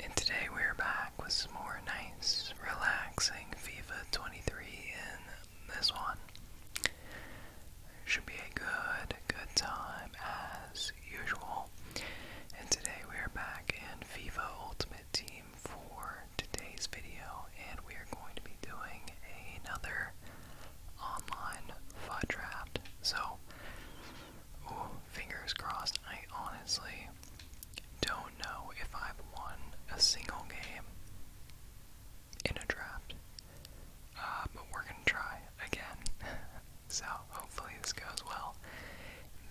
And today we're back with some more nice, relaxing FIFA 23 in this one. Should be a good, good time as usual. And today we are back in FIFA Ultimate Team for today's video, and we are going to be doing another online FUD draft. So, fingers crossed. I honestly don't know if I've won a single game in a draft. Uh, but we're gonna try again. so hopefully this goes well.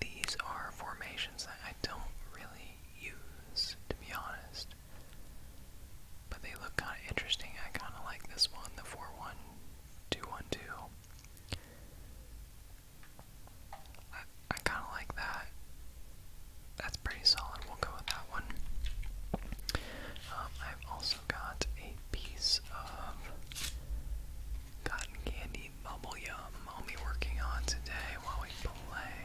These are formations that I don't really use, to be honest. But they look kinda interesting. I kinda like this one, the 4 I, kind of like that. That's pretty solid. We'll go with that one. Um, I've also got a piece of cotton candy bubble yum I'll be working on today while we play.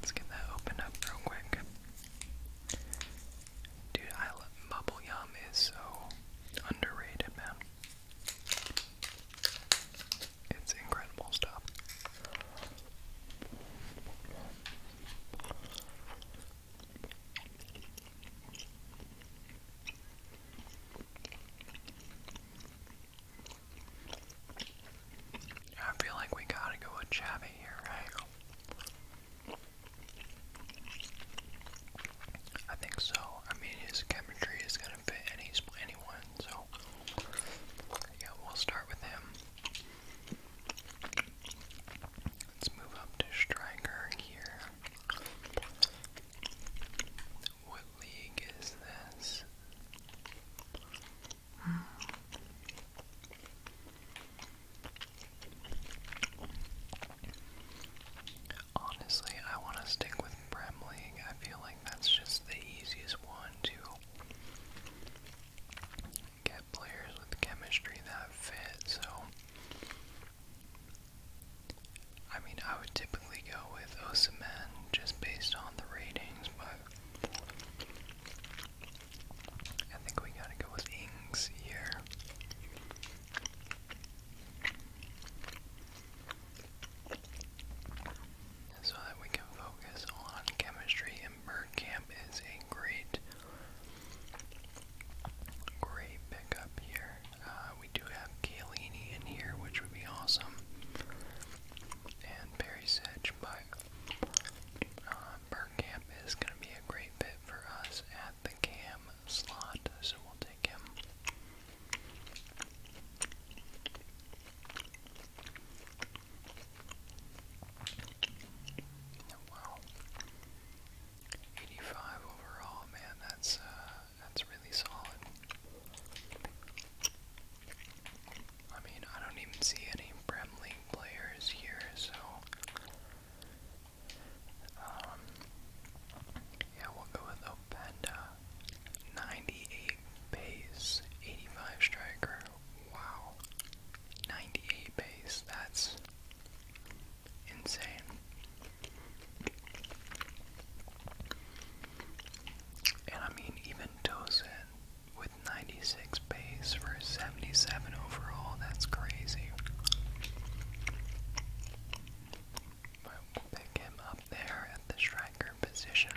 Let's get that opened up real quick. Dude, I love bubblegum is so underrated, man. It's incredible stuff. I feel like we gotta go with Chabby here, right? I think so. I mean, his chemistry is gonna fit any anyone, so yeah, we'll start with him. Let's move up to striker here. What league is this? Honestly, I want to stick with Bremling. I feel like that's just the easiest one to get players with chemistry that fit, so. I mean, I would typically go with Osamen just based on the ratings, but I think we gotta go with Ings here so that we can focus on chemistry and bird is a great great pickup here. Uh, we do have Kalini in here which would be awesome. And Perry Sedge, but uh, Bird Camp is going to be a great fit for us at the camp slot, so we'll take him. Wow. 85 overall, man, that's uh, that's really solid. I mean, I don't even see any Prem players here, so um, yeah, we'll go with Openda. 98 base, 85 striker. Wow. 98 base that's insane. And I mean, even Tosin with 96 base for 77 overall, that's crazy. But will pick him up there at the striker position.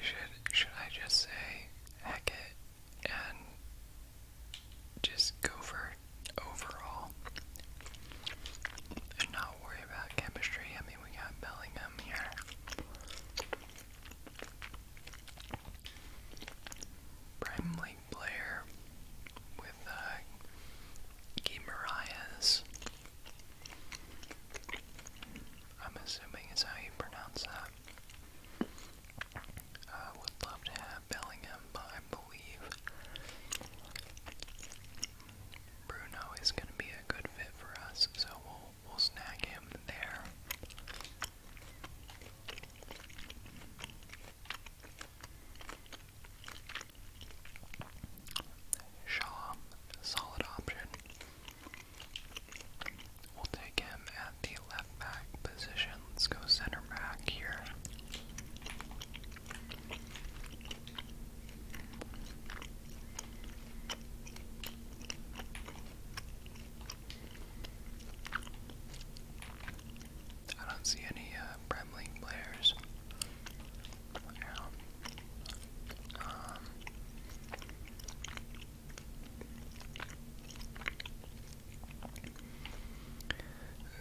should should I just say heck and just go for overall? And not worry about chemistry. I mean, we got Bellingham here. Prime League with uh, I'm assuming it's how you pronounce that. Uh, would love to have Bellingham, but I believe Bruno is going to be a good fit for us, so we'll we'll snag him there. Shaw, solid option. We'll take him at the left back position. Let's go center back here. I don't see any uh, players. Um,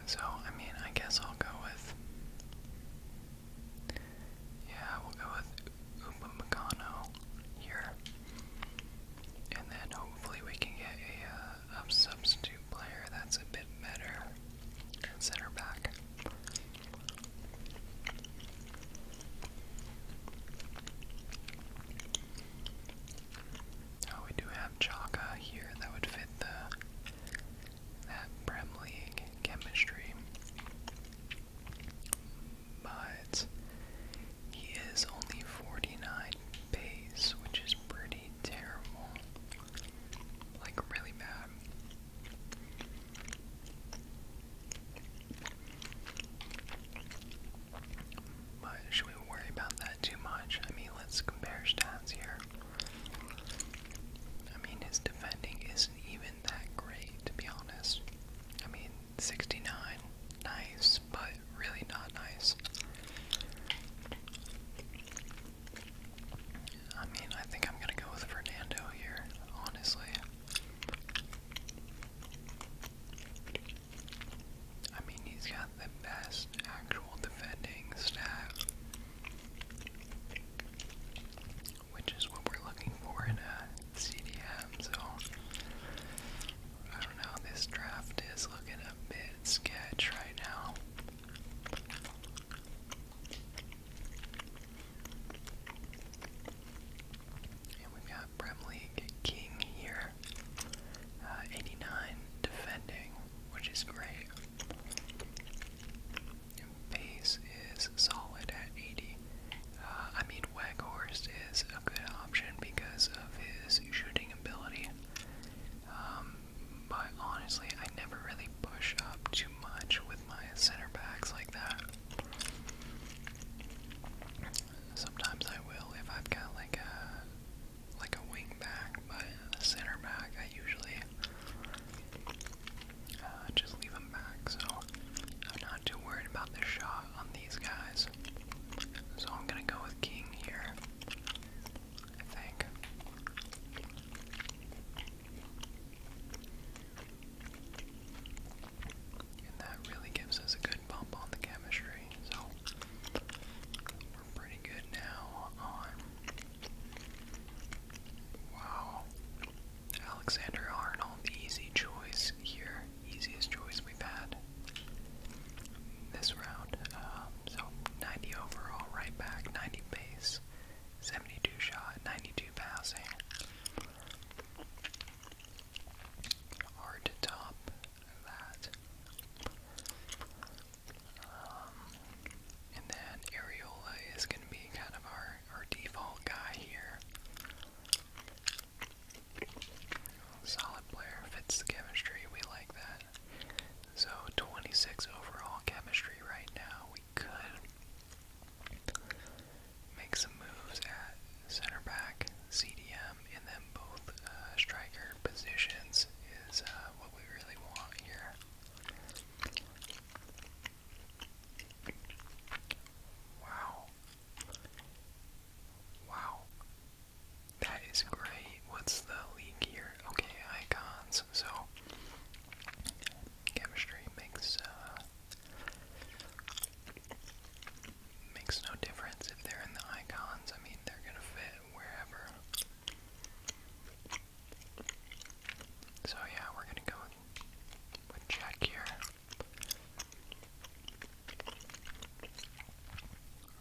so, I mean, I guess I'll go with yeah, we'll go with Umba Macano here. And then hopefully we can get uh, a, substitute player that's a bit better at center back. Oh, we do have Chaka here that would fit the that Prem League chemistry. But he is only 49 base, which is pretty terrible. Like, really bad. But should we worry about that too much? I mean, let's compare stats here. I mean, his defending isn't even that great, to be honest. I mean, 69, nice, but really not nice. I mean, I think I'm gonna go with Fernando here, honestly. I mean, he's got the best actual defending stat which is what we're looking for in a CDM. So I don't know, this draft is looking a bit sketch right now. And we've got Prem League King here, uh, 89 defending, which is great. Pace is solid at 80. Uh, I mean, Weghorst is a good option because of his shooting ability. Um, but honestly, I never really push up too much with my center backs like that. Sometimes I will if I've got like a like a wing back, but a center back I usually uh, just leave them back. So I'm not too worried about the shot on these guys. So I'm gonna go with King here. I think. And that really gives us a good bump on the chemistry. So we're pretty good now on Wow. Alexander Arnold, the easy choice here. Easiest choice we've had this round. Um, so 90 overall, right back, 90 pace, 72 shot, 92 passing. Hard to top that. Um, and then Areola is going to be kind of our, our default guy here. Solid player, fits the chemistry, we like that. So 26 overall chemistry right now. We could make some moves at center back, CDM, and then both uh, striker positions is uh, what we really want here. Wow. Wow. That is great. What's the league here? Okay, icons. So, chemistry makes, uh, makes no difference if they're in the icons. I mean, they're gonna fit wherever. So yeah, we're gonna go with Jack here.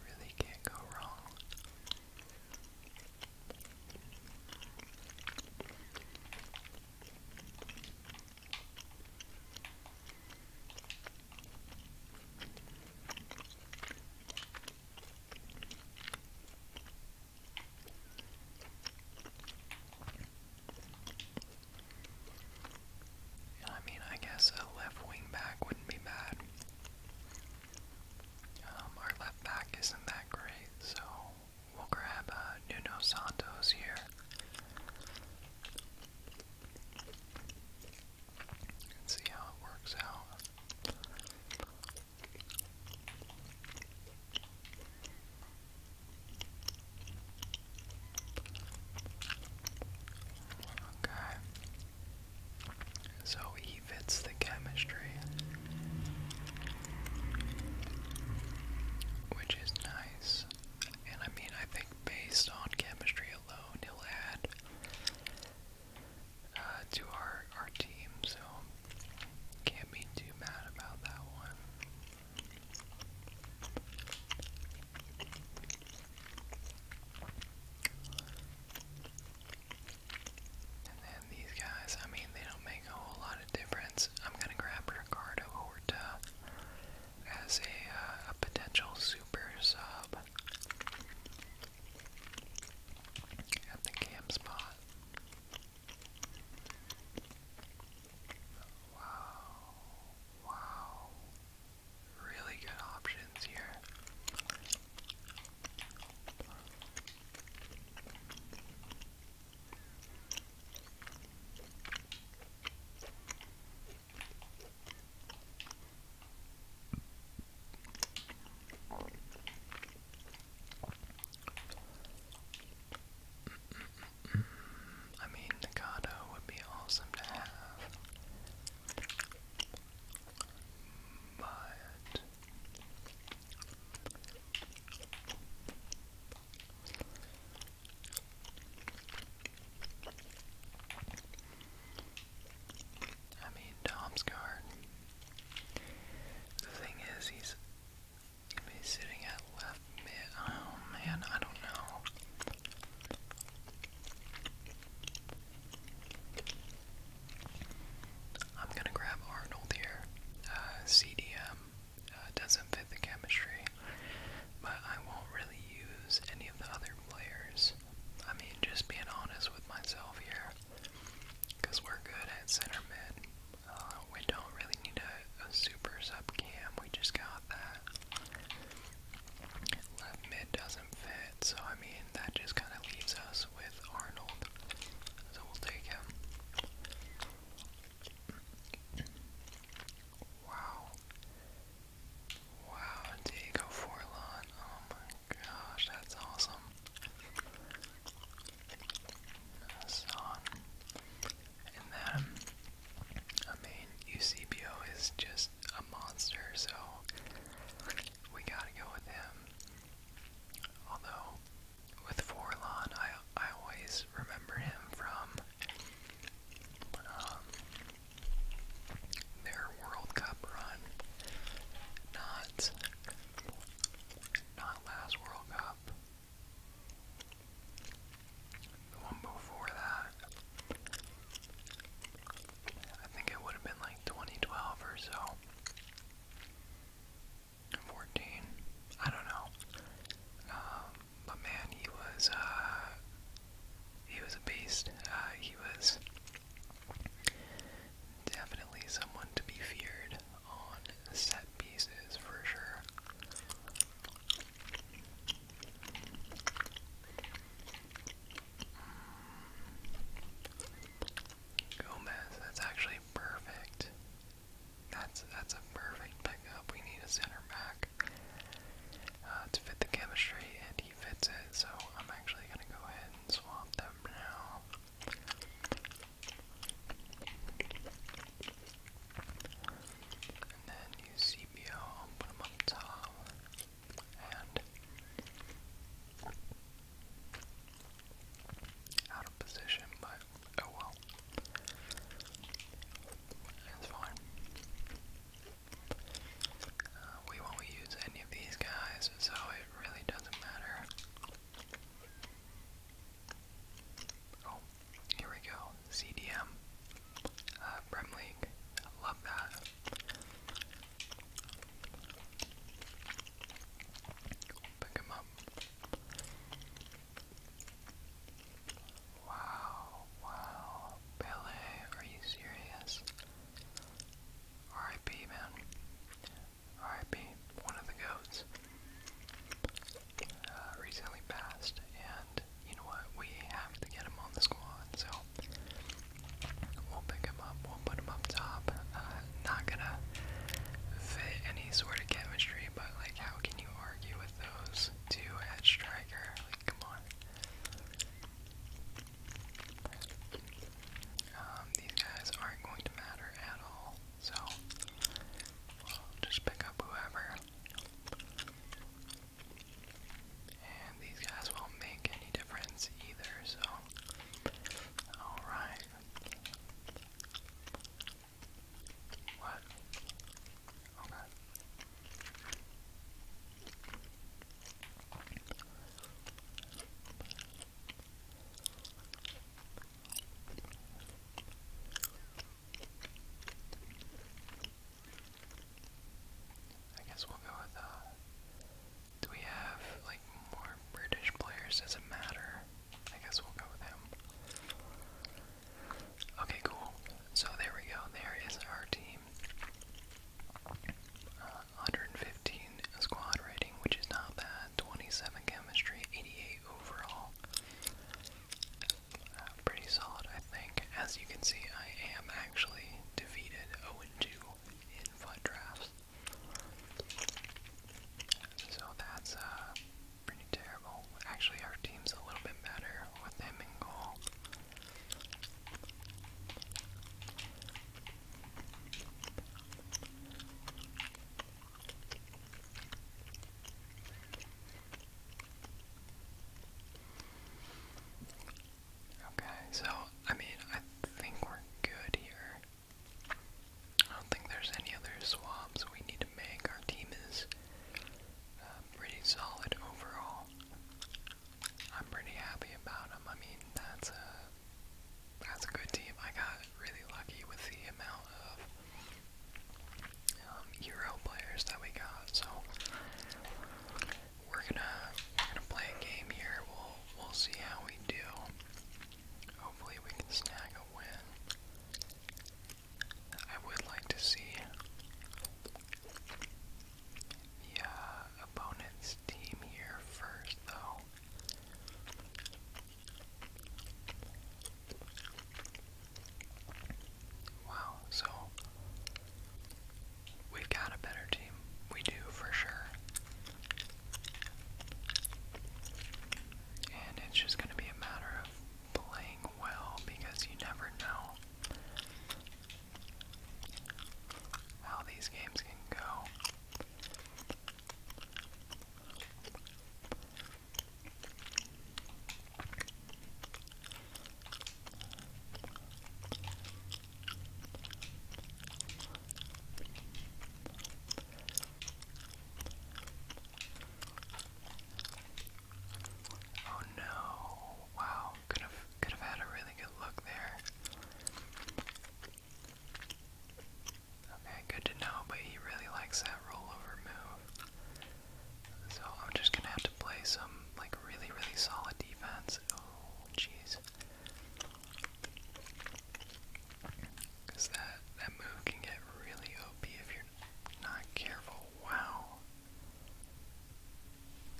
Really can't go wrong. I mean, I guess a left wing back wouldn't be bad. Um, our left back isn't that great, so we'll grab uh, Nuno Santos here. And see how it works out. Okay. So he fits the chemistry, which is nice. And I mean, I think based on chemistry alone, he'll add uh, to our, our team. So can't be too mad about that one. And then these guys, I mean, they don't make a whole lot of difference. I'm gonna grab Ricardo Horta as a, uh, potential super sub at the camp spot. Wow. Wow. Really good options here. I mean, Nagato would be awesome to have. But I mean, Dom's guard. The thing is, he's be sitting at left mid. Oh man, I don't know. I'm gonna grab Arnold here. Uh, CDM uh, doesn't fit the chemistry, but I won't really use any of the other players. I mean, just being honest with myself here, because we're good at center mid. Uh, we don't really need a, a super sub cam, we just got that. Left mid doesn't fit, so I mean, that just kind of leaves us with Arnold. So we'll take him. Wow. Wow, Diego Forlan. Oh my gosh, that's awesome. And then, I mean, Eusebio is just a monster, so we gotta go with him. Although, with Forlan, I, I always remember him from um, their World Cup run. Not, not last World Cup, the one before that, I think it would have been like 2012 or so. 14, I don't know. Um, but man, he was, uh, he was a beast. Uh, he was definitely someone to be feared on set pieces for sure. Mm. Gomez, that's actually perfect. That's that's a perfect pickup. We need a center back uh, to fit the chemistry, and he fits it. So I'm actually gonna go ahead and swap them now. And then use CPO, put them up top, and out of position, but oh well. That's fine. Uh, we won't use any of these guys, so it really doesn't matter. Oh, here we go. CDM. Uh, love that. Pick him up. Wow, wow. Pele, are you serious? RIP, man. R.I.P. one of the goats, uh, recently passed, and you know what? We have to get him on the squad, so we'll pick him up. We'll put him up top. Uh, not gonna fit any sort of chemistry, but like, how can you argue with those two at striker? Like, come on. Um, these guys aren't going to matter at all. So, we'll just pick up whoever. And these guys won't make any difference either, so. Alright. What? Okay. I guess we'll go with, uh, do we have, like, more British players? Does it matter? I guess we'll go with him. Okay, cool. So there we go. There is our team. Uh, 115 squad rating, which is not bad. 27 chemistry, 88 overall. Uh, pretty solid, I think. As you can see, I am actually defeated 0-2 in foot drafts. So that's uh, pretty terrible. Actually, our team's a little bit better with him in goal. Okay, so I mean, I think we're good here. I don't think there's any other swabs we need to make. Our team is uh, pretty solid overall. I'm pretty happy about them. I mean, that's a that's a good team. I got really lucky with the amount of um, Euro players that we got. So we're gonna we're gonna play a game here. We'll we'll see how we do. Hopefully we can snag a win. I would like to see the uh, opponent's team here first, though. Wow, so we've got a better team. We do for sure. And it's just going to be a matter of playing well because you never know how these games can go. Oh no! Wow, could have could have had a really good look there. Okay, good to know, but he really likes that rollover move. So I'm just gonna have to play some like really, really solid defense. Oh, jeez. Cause that that move can get really OP if you're not careful. Wow.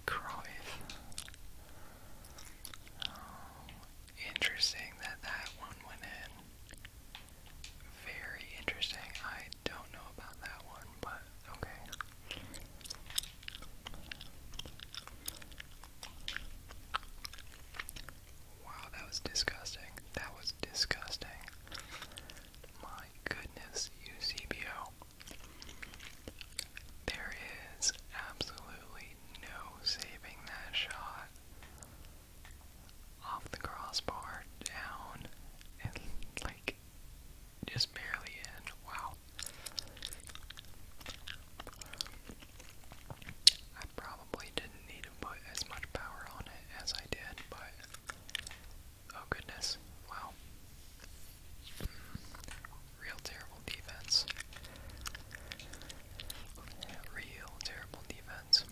Cruyff. Oh, interesting that that one went in. Very interesting. I don't know about that one, but okay. Wow, that was disgusting. That was disgusting. My goodness, you Eusebio. There is absolutely no saving that shot off the crossbar, down, and like just barely in. Wow. I probably didn't need to put as much power on it as I did, but oh goodness, wow. Real terrible defense. Real terrible terrible defense.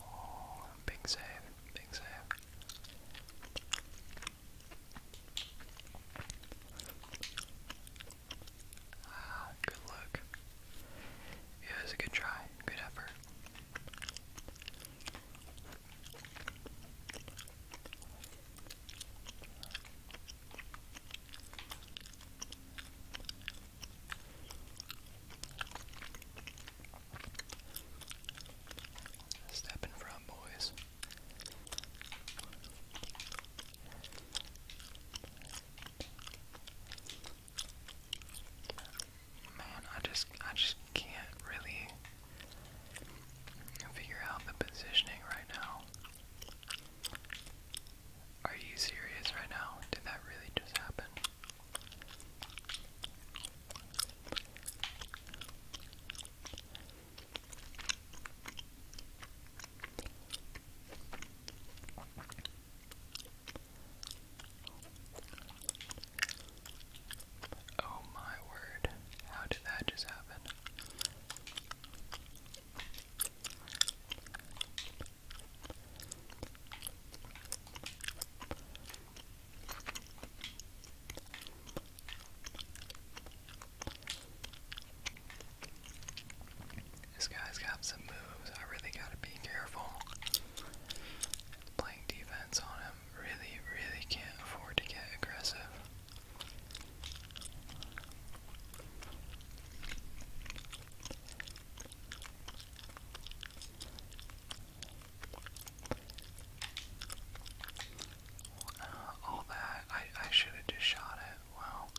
Oh, big save, big save. Ah, good luck. Yeah, it was a good try. Good effort. Step in boys. Man, I just I just can't really figure out the positioning right now. Are you serious right now? Did that really just happen? Oh my word, how did that just happen? This guy's got some moves. I really gotta be careful. Playing defense on him. Really, really can't afford to get aggressive. all that I I should have just shot it. Wow. Yeah,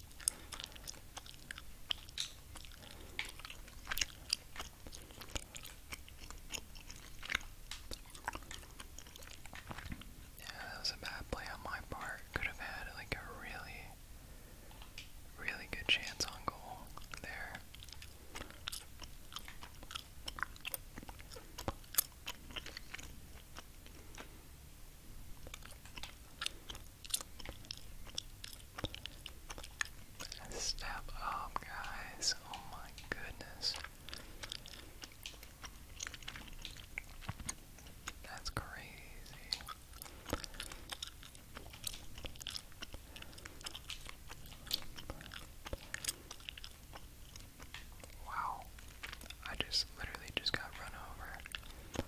that was a bad play on my part. Could have had like a really, really good chance on goal there. Step up, guys. Oh my goodness. That's crazy. Wow. I just literally just got run over.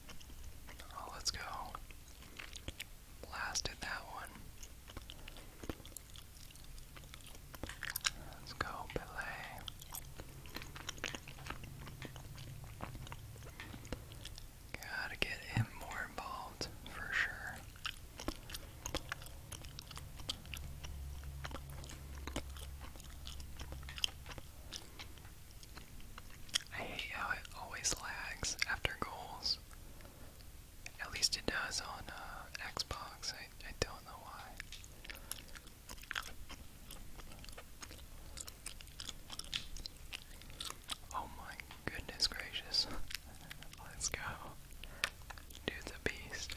Oh, let's go. Blasted that one. Let's go, Belay. Gotta get him more involved for sure. I hate how it always lags after goals. At least it does on uh, Xbox. I, I don't know why. Oh my goodness gracious. Let's go. Dude's a beast.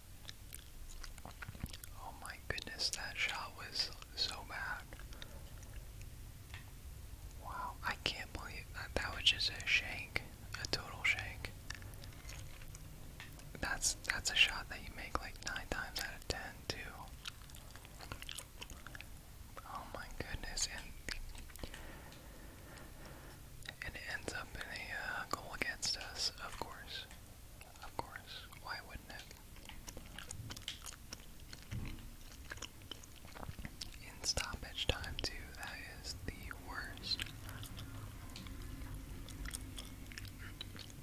Oh my goodness, that shot was so bad. Wow, I can't believe that was just a shank, a total shank. That's that's a shot that you make like nine times out of ten too. Oh my goodness, and it ends up in a uh, goal against us, of course. Of course. Why wouldn't it? In stoppage time, too, that is the worst.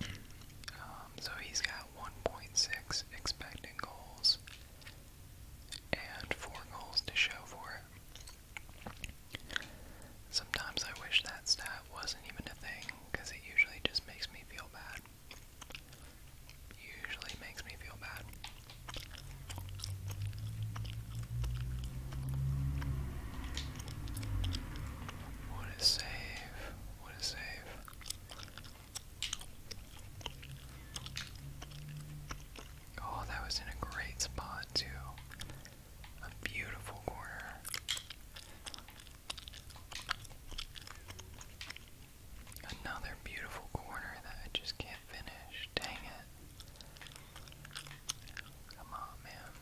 Um, so he's got 1.6 expected goals and four goals to show for it. Sometimes I wish that stat wasn't even a thing, because it usually just makes me feel bad. Usually makes me feel bad. What a save. What a save. Oh, that was in a great spot, too. A beautiful corner. Another beautiful corner that I just can't finish. Dang it. Come on, man.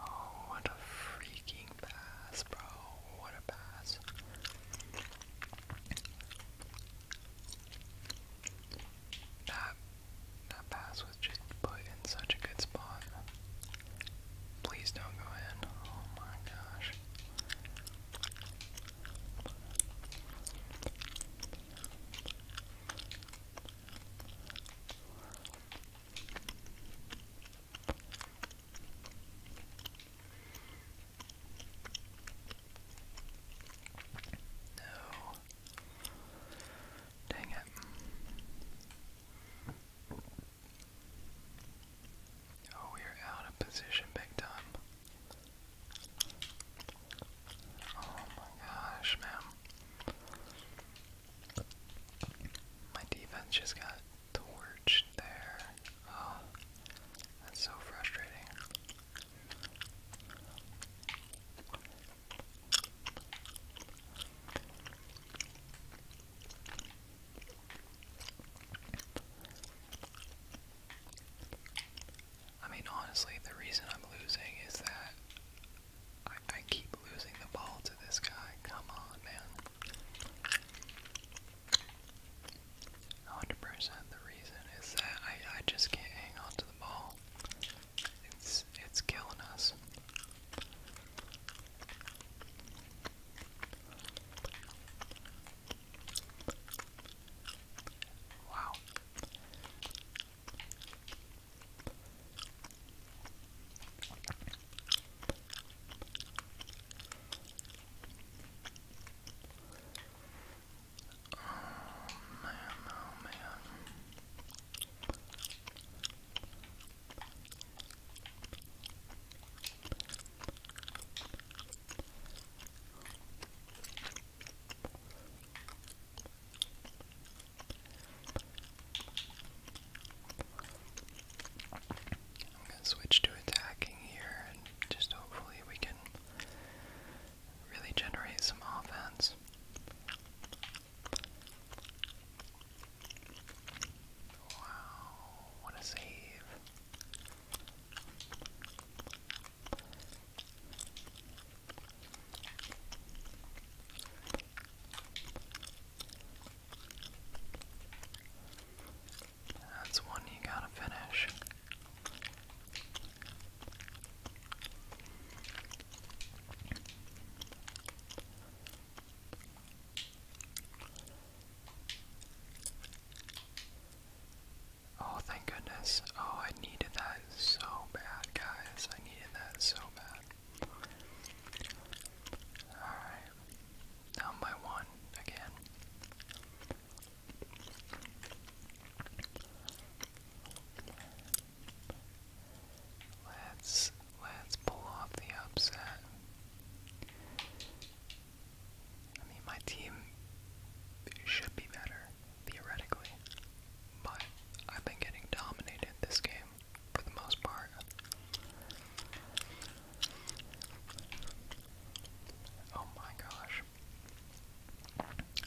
Oh, what a freaking pass, bro. What a pass. That, that pass was just put in such a good spot. Please don't go in. Oh my gosh. No. Dang it. Oh, we're out of position big time. Oh my gosh, man. My defense just got torched there. Oh, that's so frustrating. I mean, honestly, the reason I'm losing is that I, I keep losing the ball to this guy. Come on, man. 100 the reason is that I, I just can't hang on to the ball. It's, it's killing us. Wow. Oh man, oh man. I'm going to switch to attacking here and just hopefully we can really generate some offense. Wow, what a save. That's one you gotta finish. Oh, thank goodness. Oh, I needed that so bad, guys. I needed that so bad. Alright. Down by one again. Let's let's pull off the upset. I mean my team should be better theoretically. But I've been getting dominated this game for the most part. Oh my gosh.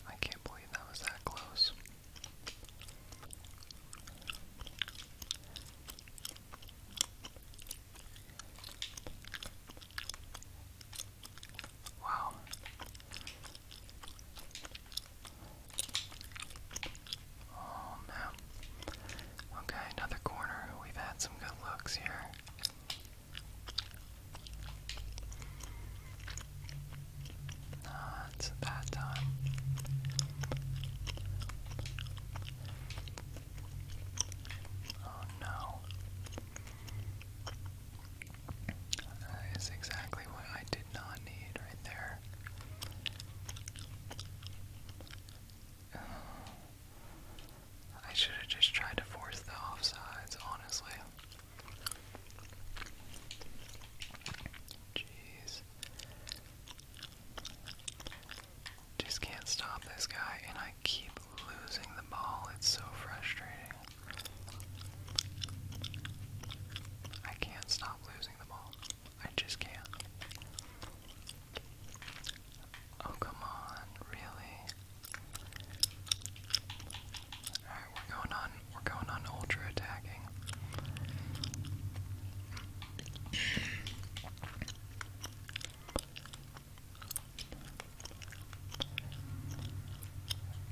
I can't believe that was that close. Wow. Oh no. Okay, another corner. We've had some good looks here. Not that time. Oh no. That is exactly what I did not need right there. Oh. I should have just tried to force the offsides, honestly. Jeez. Just can't stop this guy, and I keep losing the ball. It's so frustrating. I can't stop losing the ball. I just can't. Oh, come on, really? Alright, we're going on, we're going on ultra attacking.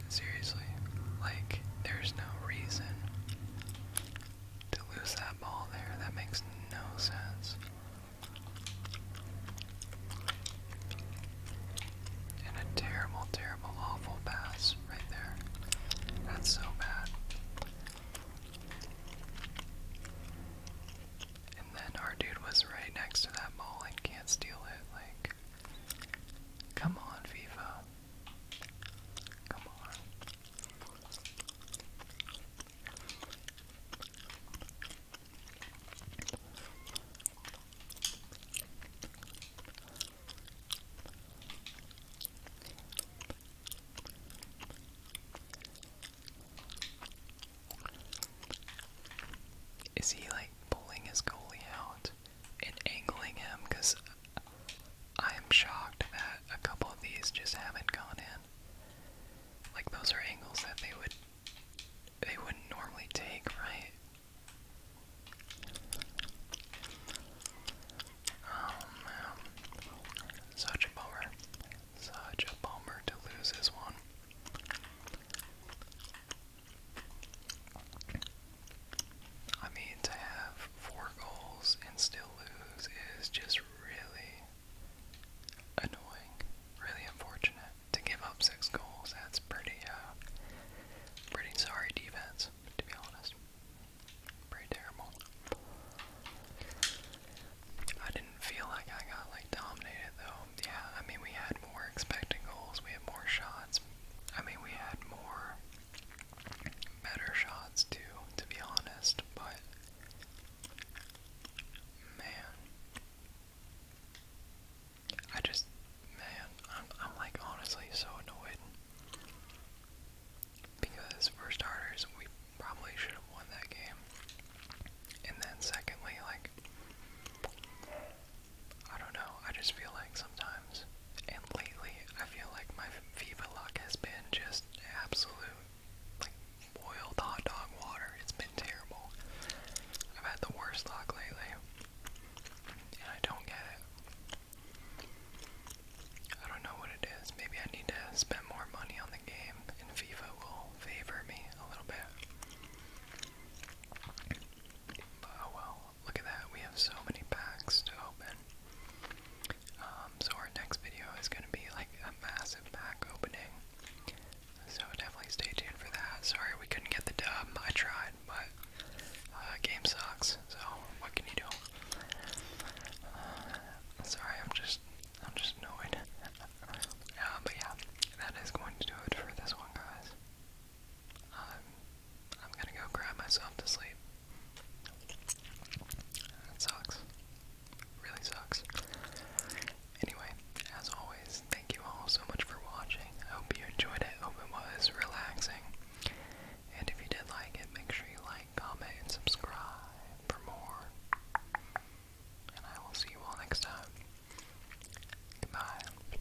Seriously, like, there's no reason to lose that ball there. That makes no sense. And a terrible, terrible, awful pass right there. That's so bad. And then our dude was right next to that ball and can't steal it. Like, come on, FIFA. Is he like pulling his goalie out? in angling him because I am shocked that a couple of these just haven't gone in. Like those are angles that they would they wouldn't normally take, right? Oh Such a bummer. Such a bummer to lose this one. I mean, to have four goals and still lose is just really annoying, really unfortunate. To give up six goals, that's pretty, uh, pretty sorry defense, to be honest. Pretty terrible. I didn't feel like I got like dominated though. Yeah, I mean we had more expected goals, we had more shots. I mean we had more better shots too, to be honest, but man. I just man, I'm I'm like honestly so annoyed. Because for starters we probably should have won that game. And then secondly, like I don't know, I just feel like sometimes, and lately, I feel like my FIFA luck has been just absolute, like, boiled hot dog water. It's been terrible. I've had the worst luck lately, and I don't get it. I don't know what it is. Maybe I need to spend more money on the game, and FIFA will favor me a little bit. oh well, look at that, we have so many packs to open. Um, so our next video is going to be like a massive pack opening. So definitely stay tuned for that. Sorry we couldn't get the dub. I tried, but uh, game sucks. So what can you do? Uh, sorry, I'm just I'm just annoyed. uh, but yeah, that is going to do it for this one, guys. Um, I'm gonna go cry myself to sleep. That sucks. Really sucks. Anyway, as always, thank you all so much for watching. I hope you enjoyed it. Hope it was relaxing. And if you did like it, make sure you like, comment, and subscribe for more. And I will see you all next time. Goodbye.